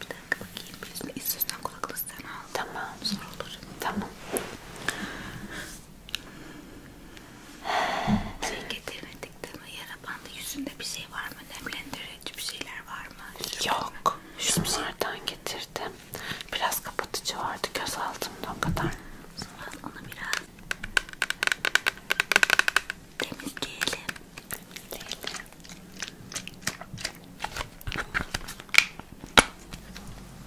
Bir dakika bakayım. Birisini istiyorsan kulaklığı sen al. Tamam. Zor olur. Tamam. Şey getirmedik değil mi? Yara bandı yüzünde bir şey var mı? Nemlendirici bir şeyler var mı? Sürme Yok. Şunlardan şey... getirdim. Biraz kapatıcı vardı göz altımda o kadar. Sonra onu biraz Temiz giyelim. Leyla.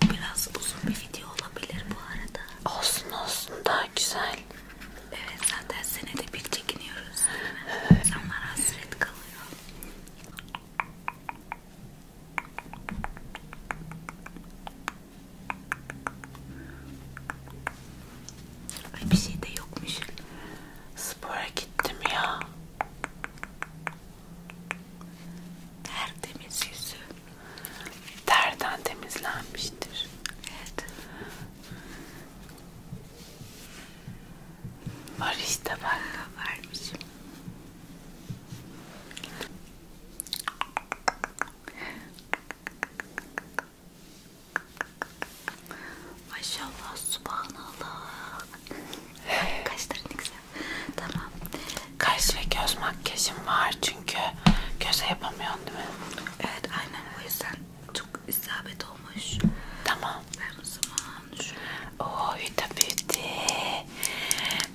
Biraz uzun bir video olabilir bu arada. Olsun olsun daha güzel. Evet zaten senede bir çekiniyoruz. İnsanlar hasret kalıyor. Ay bir şey de yokmuş. Spora gittim ya. Tertemiz yüzü. Terden temizlenmiştir. Evet. Var işte ben vermişim. Maşallah subhanallah. Kaşların güzel. Tamam. Kaş ve göz makyajım var çünkü göze yapamıyorsun değil mi? Evet aynen o yüzden çok isabet olmuş. Tamam. Ben o zaman şu... Oo Huda Beauty.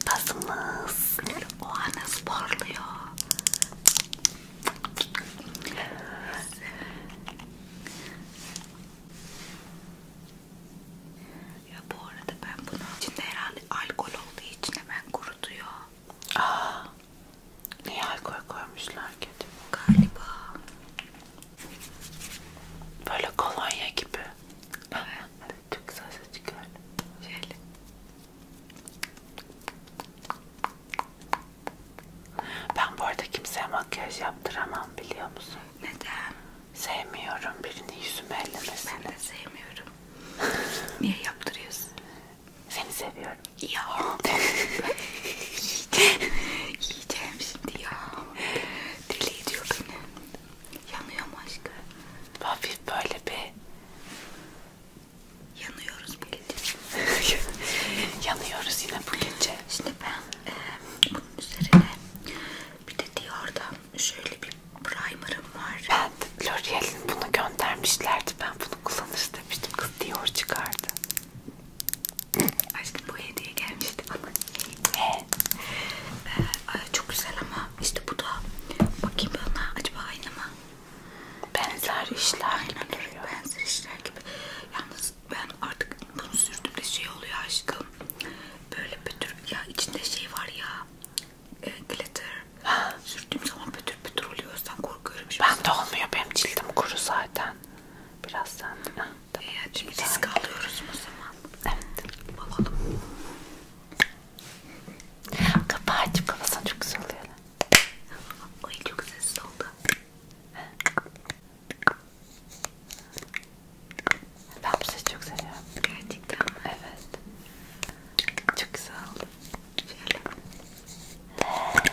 Bazımız. O anası parlıyor. Ya bu arada ben bunu içinde herhalde alkol olduğu için hemen kurutuyor. Aa, ah. niye alkol koymuşlar ki? Galiba. Böyle kolonya gibi. Evet. Çok güzel ses çıkıyor. Şöyle. Ben bu arada kimseye makyaj yaptıramam biliyor musun? Neden? Sevmiyorum birini yüzüme ellemesini. Ben de sevmiyorum. Niye yaptırıyorsun? Seni seviyorum. Ya. yiyeceğim. yiyeceğim şimdi ya. Deli ediyor beni. Yanıyor mu aşkım? Hafif böyle bir Yanıyoruz bu gece. Yanıyoruz yine bu gece. Şimdi ben e, bunun üzerine bir de Dior'dan şöyle bir primer'ım var. Ben L'Oreal'in bunu göndermişlerdi. Ben bunu kullanırız demiştim. Kız Dior çıkardı. Aşkım bu hediye gelmişti bana. Evet. Ee, çok güzel ama işte bu da bakayım bana acaba aynı mı? benzer işler gibi Aynen, duruyor. Benzer işler gibi. Yalnız ben artık bunu sürdüğümde şey oluyor aşkım. Böyle pütür ya içinde şey var ya. E, glitter. Sürdüğüm zaman pütür pütür oluyor. Sen korkuyorum. Şimdi ben de olmuyor. Benim cildim kuru zaten. Biraz sen de. E, çünkü risk alıyoruz o zaman. Evet. Bakalım. Kapağı açıp kafasına çok güzel oluyor. Ay çok sessiz oldu. Ben bu sesi çok seviyorum. Gerçekten mi? Evet. Çok güzel oldu. Şöyle.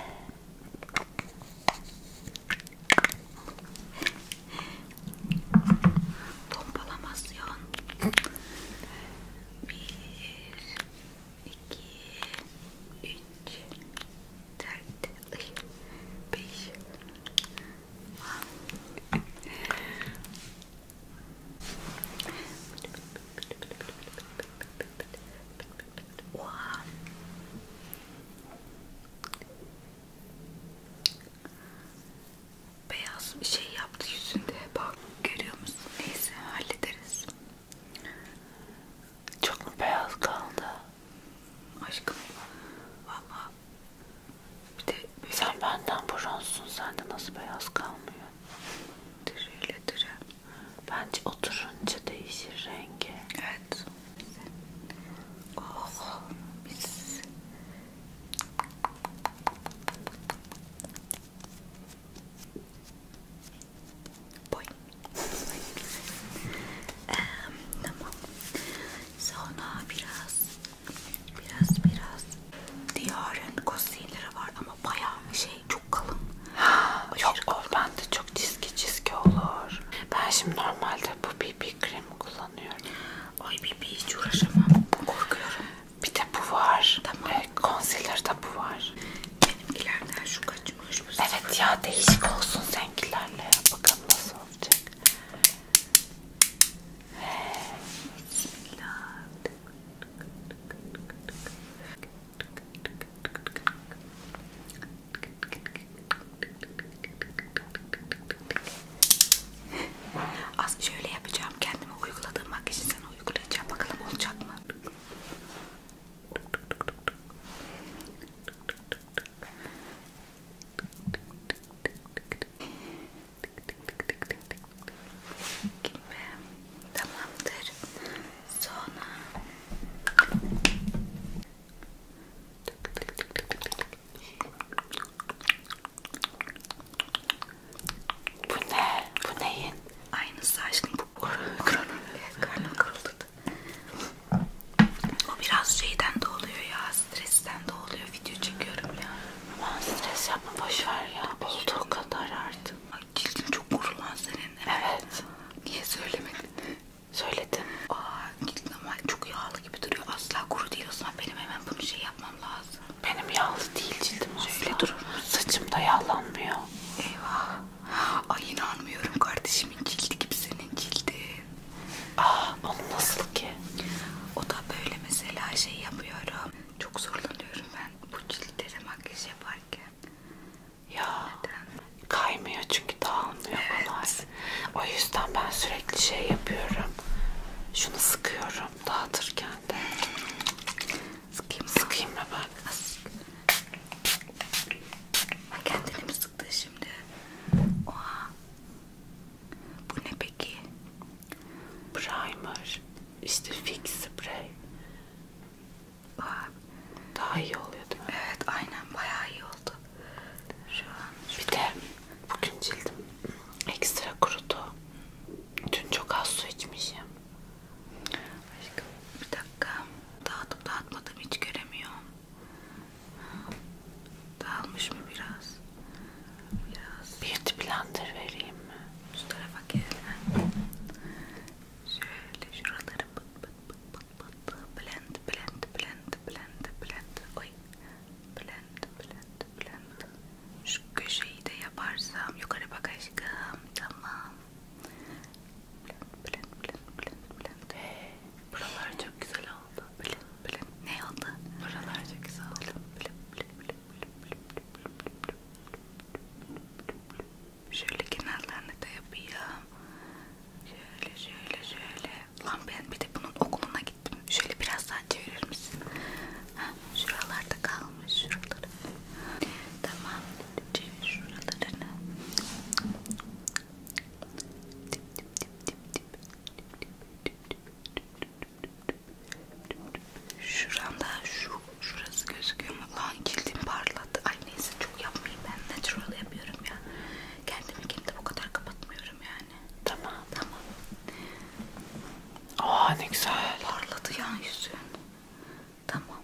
Pompalamasyon. Bir, 2 3 4 5 Wow. Beyaz bir şey yaptı yüzünde. Bak görüyor musun? Neyse hallederiz. Çok mu beyaz kaldı? Aşkım valla bir de böyle... Sen benden bronzsun sende nasıl beyaz kalmıyor? Dürüyle dürü. Bence oturunca değişir rengi. Evet. Oh mis. Boy. ee, tamam. Sonra biraz biraz biraz Diyar'ın kostümleri var ama bayağı bir şey çok kalın. Yok o bende çok çizgi çizgi olur. Ben şimdi normalde bu BB kremi kullanıyorum. Ay BB hiç uğraşamam. Korkuyorum. Bir de bu var. Tamam. Ee, Konsiler de bu var. Benimkilerden şu kaçmış. Bu evet ya değişik olsun seninkilerle. Bakalım nasıl olacak. Bismillah. Az şöyle yapacağım kendime uyguladığım makyajı sana uygulayacağım bakalım olacak mı? Gibi. Tamamdır. Sonra bu ne? Bu neyin? Aynısı aşkım bu kronun karnım kırıldı. O biraz şeyden de oluyor ya, stresten de oluyor. Video çekiyorum ya. Aman stres yapma boşver ya. Olduğu kadar artık. Ay cildin çok kuru lan senin. Evet. Niye söylemedin? Söyledim. Aa cildin ama çok yağlı gibi duruyor. Asla kuru değil o zaman benim hemen bunu şey yapmam lazım. Benim yağlı değil cildim asla. Öyle durur. Saçım da yağlanmıyor. Eyvah. Ay inanmıyorum kardeşimin cildi gibi senin cildin. Aa ah, onun nasıl ki? O da böyle mesela şey yapıyorum. Çok zorlanıyorum ben bu ciltlere makyaj yaparken. Ya Neden? kaymıyor çünkü dağılmıyor evet. kolay. O yüzden ben sürekli şey yapıyorum. Şunu sıkıyorum dağıtırken de. Sıkayım mı? Sıkayım mı ben? Sık. Ben kendini mi sıktı şimdi? Oha. Bu ne peki? Primer. İşte fix spray. Oha. Daha iyi oluyor değil mi? Evet aynen bayağı iyi oldu. Şu an. Bir de bugün cildim ekstra kurudu. Dün çok az su içmişim. Aşkım bir dakika. Dağıtıp dağıtmadım hiç göremiyorum. Dağılmış mı biraz? Biraz. Bir blender vereyim mi? Şu tarafa gel. Şöyle şuraları bıt bıt bıt bıt bıt. Blend blend blend blend blend. Oy. Blend blend blend. Şu köşeyi de yaparsam yukarı bak aşkım. Tamam. Blend blend blend blend. Buralar çok güzel oldu. Blend blend. Ne oldu? Buralar çok güzel oldu. Şöyle kenarlarını da yapayım. Şöyle şöyle şöyle. Lan ben bir de bunun okuluna gittim. Şöyle biraz daha çevirir misin? Ha, şuralarda kalmış. Şuraları. Tamam. Çevir şuralarını. Dip dip dip dip dip. Şuramda şu şurası gözüküyor mu? Lan kildim parladı. Ay neyse çok yapmayayım ben natural yapıyorum ya. Kendimi kimde bu kadar kapatmıyorum yani. Tamam. Tamam. Aa ne güzel. Parladı ya yüzün. Tamam.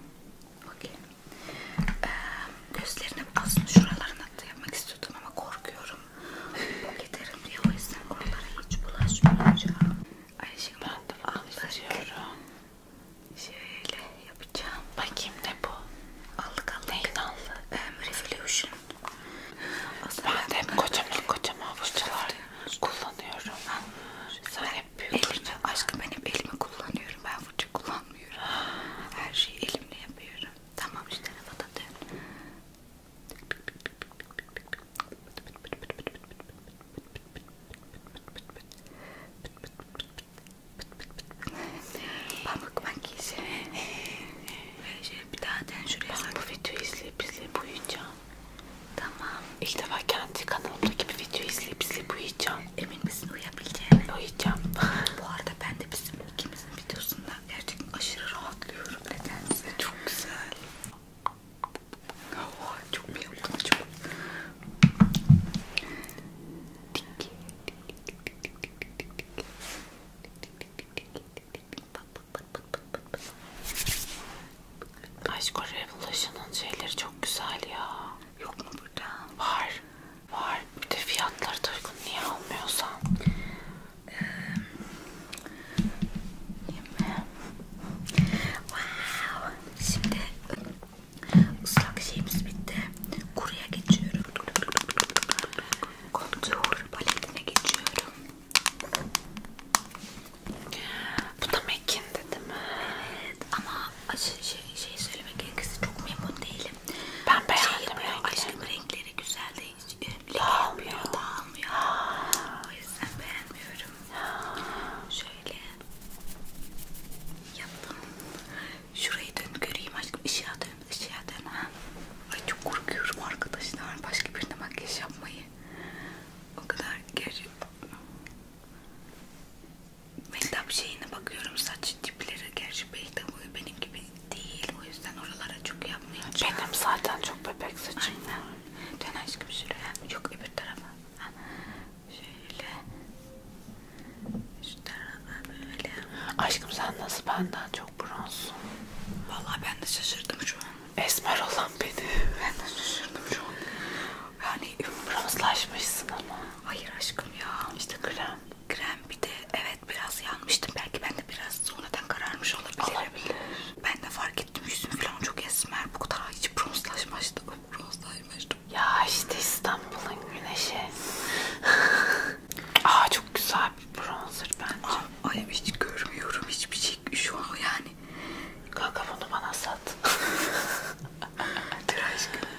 Okey. Ee, gözlerine aslında şuralarına da yapmak istiyordum ama korkuyorum. Giderim diye o yüzden oralara hiç bulaşmayacağım. Ayşegül aldık. Şöyle yapacağım. Bakayım ne bu? Allık allık. Neyin allık? Um, ee, Revolution. Aslında ben de hep kocaman kocaman fırçalar kullanıyorum. Sen hep büyük elimi, aşkım ben hep elimi kullanıyorum. Ben fırça kullanmıyorum. Her şeyi elimle yapıyorum. Tamam şu tarafa da dön. Pamuk makyajı. Böyle şöyle bir daha den şuraya. Ben bu videoyu izleyip izleyip uyuyacağım. Tamam. İlk defa kendi kanalımdaki bir video izleyip izleyip uyuyacağım. Emin misin uyuyabileceğine? Uyuyacağım. Bu arada ben de bizim ikimizin videosunda gerçekten aşırı rahatlıyorum. Nedense. Çok güzel. Oh, çok mu yaptım acaba? Bak Aşk Revolution'ın şeyleri çok güzel ya. Yok mu burada? Var. Var. Bir de fiyatları da uygun. Niye almıyorsan? Ee, wow. Şimdi ıslak şeyimiz bitti. Kuruya geçiyorum. Kontur paletine geçiyorum. Bu da Mac'indi değil mi? Evet ama şey, şey söylemek gerekirse çok memnun değilim. Ben beğendim şey rengi. Aşkım renkleri güzel de hiç e, leke yapmıyor, dağılmıyor. O yüzden beğenmiyorum. Şöyle yaptım. Şurayı dön göreyim aşkım. Işığa dön, ışığa dön. Ha. Ay çok korkuyorum arkadaşlar. Başka birine makyaj yapmayı o kadar geri Mehtap şeyine bakıyorum saç tipleri gerçi Mehtap benim gibi değil o yüzden oralara çok yapmayacağım. Benim zaten çok bebek saçım. Aynen. Dön aşkım şuraya. Yok öbür tarafa. Ha. Şöyle. Şu tarafa böyle. Aşkım sen nasıl benden çok bronzsun? Vallahi ben de şaşırdım şu an. Esmer olan beni. Ben de şaşırdım şu an. Yani bronzlaşmışsın ama. Hayır aşkım ya. İşte krem. Krem bir de evet biraz yanmıştım. Belki ben de biraz sonradan kararmış olabilirim. Olabilir. Ben de fark ettim yüzüm falan çok esmer. Bu kadar hiç bronzlaşmıştı. Bronzlaşmıştım. Ya işte İstanbul'un güneşi. Aa çok güzel bir bronzer bence. Aa, ay hiç görmüyorum hiçbir şey şu an yani yani. Kanka bunu bana sat. Dur aşkım.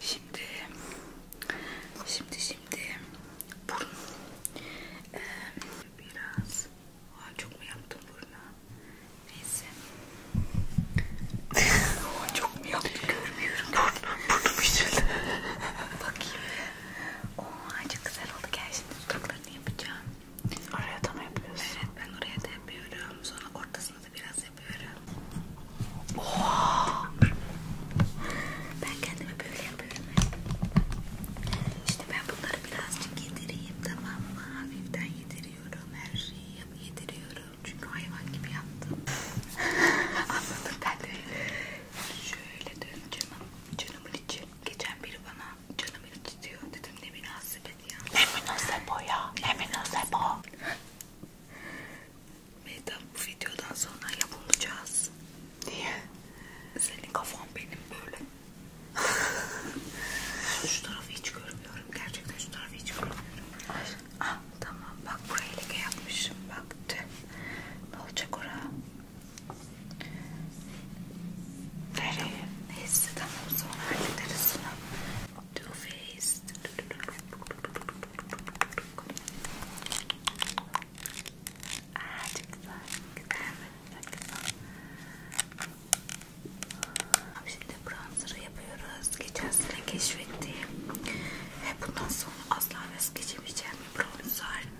Şimdi, şimdi, şimdi burun. Ee, biraz, Aa, çok mu yaptım buruna? Neyse. Aa, çok mu yaptım görmüyorum. Burnum, burnum içildi. Bakayım. Oha çok güzel oldu. Gel şimdi dudaklarını yapacağım. Oraya da mı yapıyorsun? Evet ben oraya da yapıyorum. Sonra ortasını da biraz yapıyorum. Oha. Ben kendimi böyle yapıyorum. İşte ben bunları birazcık yedireyim tamam mı? Hafiften yediriyorum. Her şeyi yediriyorum. Çünkü hayvan gibi yaptım. Anladım ben de. Şöyle dön canım. Canımın içi. Geçen biri bana canım beni tutuyor dedim ne münasebet ya. Ne münasebet o ya? Ne münasebet o? Meydan bu videodan sonra yapılacağız. Niye? Senin kafan benim böyle. şu tarafı hiç görmüyorum. Gerçekten şu tarafı hiç görmüyorum. Ah tamam bak buraya leke yapmışım. Bak de. ne olacak ora? Nereye? Neyse tamam sonra hallederiz onu. Too Faced. Aaa çok güzel. Güzel mi? Çok güzel. Şimdi bronzer'ı yapıyoruz. Geçen sene keşfettiğim ve bundan sonra asla vazgeçemeyeceğim bir bronzer.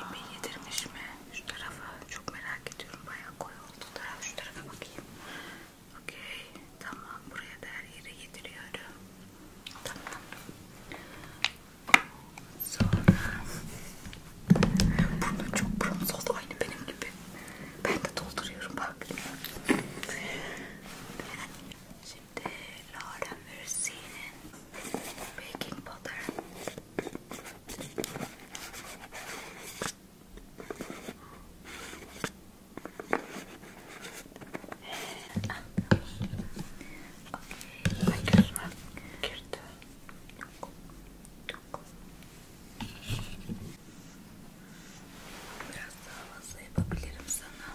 İpi yedirmiş mi? Şu tarafa çok merak ediyorum. Bayağı koyu oldu taraf. Şu tarafa bakayım. Okey. Tamam. Buraya da her yere yediriyorum. Tamam. Sonra burnu çok bronz oldu. Aynı benim gibi. Ben de dolduruyorum. Bak. Şimdi Şimdi Laura Mürsi'nin Baking Powder Okey, ben gözüme girdi Biraz daha fazla yapabilirim sana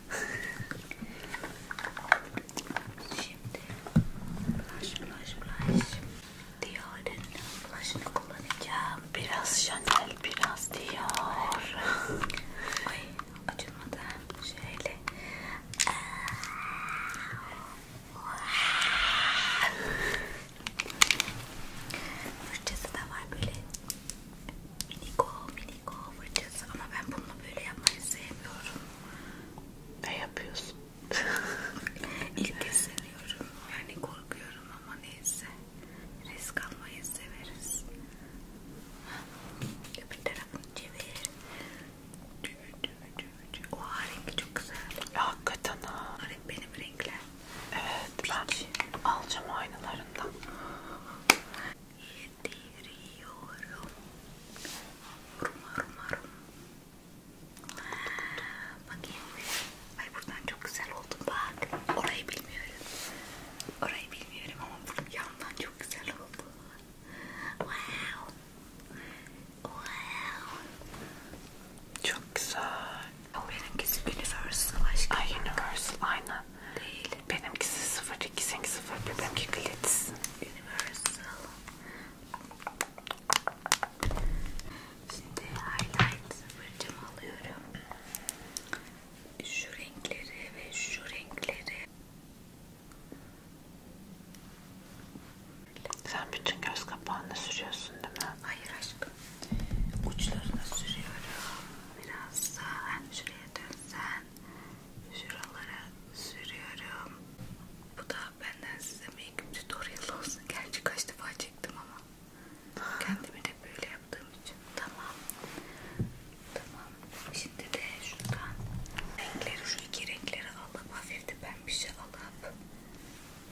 koyayım. Şimdi blush blush blush Dior'un blush'ını kullanacağım. Biraz Chanel, biraz Dior. Ay acımadı. Şöyle. Fırçası da var böyle Miniko miniko fırçası ama ben bunu böyle yapmayı sevmiyorum. Ne yapıyorsun? İlk kez seviyorum. Yani korkuyorum ama neyse. Risk almayı severiz. Öbür tarafını çevir. Çevir çevir çevir çevir. Oha rengi çok güzel. Hakikaten ha. Renk benim renkler. Evet Peach. ben alacağım aynalarından yediriyorum. Vurma vurma vurma. Bakayım. Ay buradan çok güzel oldu bak. Orayı bilmiyorum. Orayı bilmiyorum ama buradan yandan çok güzel oldu. Wow. Wow. Çok güzel. O benimkisi Universal aşkım. Ay Universal aynen. Değil. Benimkisi 02, seninki 01, benimki Glitz. Universal. Şimdi highlight fırçamı alıyorum. Şu renkleri ve şu renkleri. Sen bütün göz kapağını sürüyorsun değil mi? Hayır aşkım. Uçlarına sürüyorum biraz daha şuraya dönsen şuralara sürüyorum. Bu da benden size make tutorial olsun. Gerçi kaç defa çektim ama kendimi de böyle yaptığım için. Tamam. Tamam. Şimdi de şuradan renkleri şu iki renkleri alıp hafif de ben bir şey alıp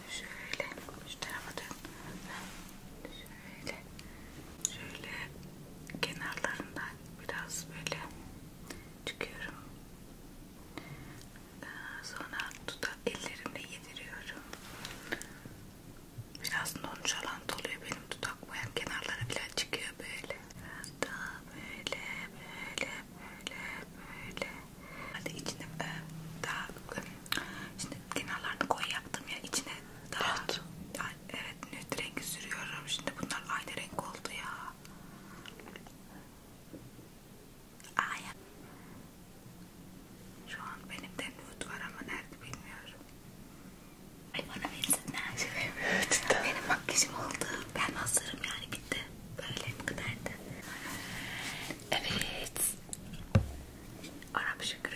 şöyle şu tarafa dön. Şöyle böyle şöyle kenarlarından biraz böyle çıkıyorum. Sonra dudak ellerimle yediriyorum. Biraz nonchalant oluyor benim dudak boyam kenarlara bile çıkıyor böyle. Daha böyle böyle böyle böyle. Hadi içine e, daha şimdi kenarlarını koy yaptım ya içine daha evet evet nüt rengi sürüyorum. Şimdi bunlar aynı renk oldu ya. Ay. Şu an benim de nüt var ama nerede bilmiyorum. Ay bana versinler. benim makyajım oldu. Ben hazırım yani bitti. Böyle bu kadardı. Evet. Arap şükrü.